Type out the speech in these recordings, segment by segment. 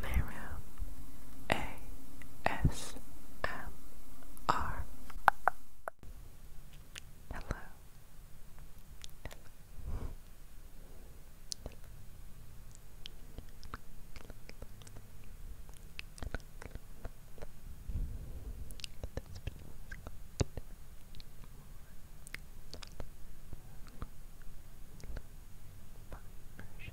Miriam ASMR. Hello. Hello. Hello fun version it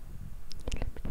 It's very annoying.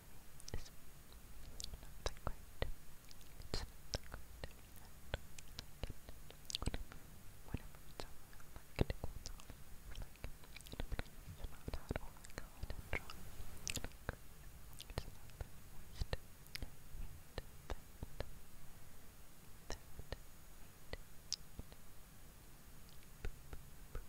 summer is not that great. It's not that great. I don't like it. Whenever, whenever it's over, I like to cool down. I like it. It's not that all I got and dry. It's not that moist. That, that, that, that. Boop, boop, boop.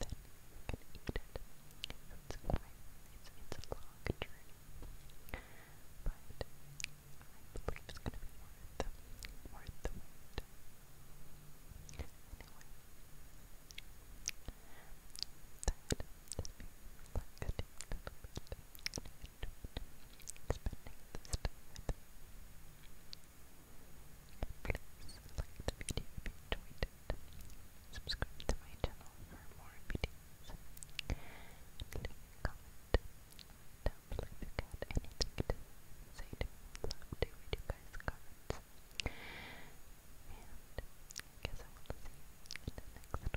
then you can eat it. It's quite, it's, it's a long journey, but I believe it's going to be worth, worth the wait. Anyway, that is me reflecting a little bit and spending this time with you. Please like the video if you enjoyed it. Subscribe to my channel for more videos. leave a comment down below if you got say to read you guys' comments. And guess I will see you in the next one.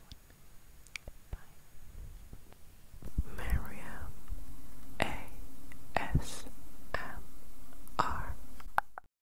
Bye. Miriam A S M R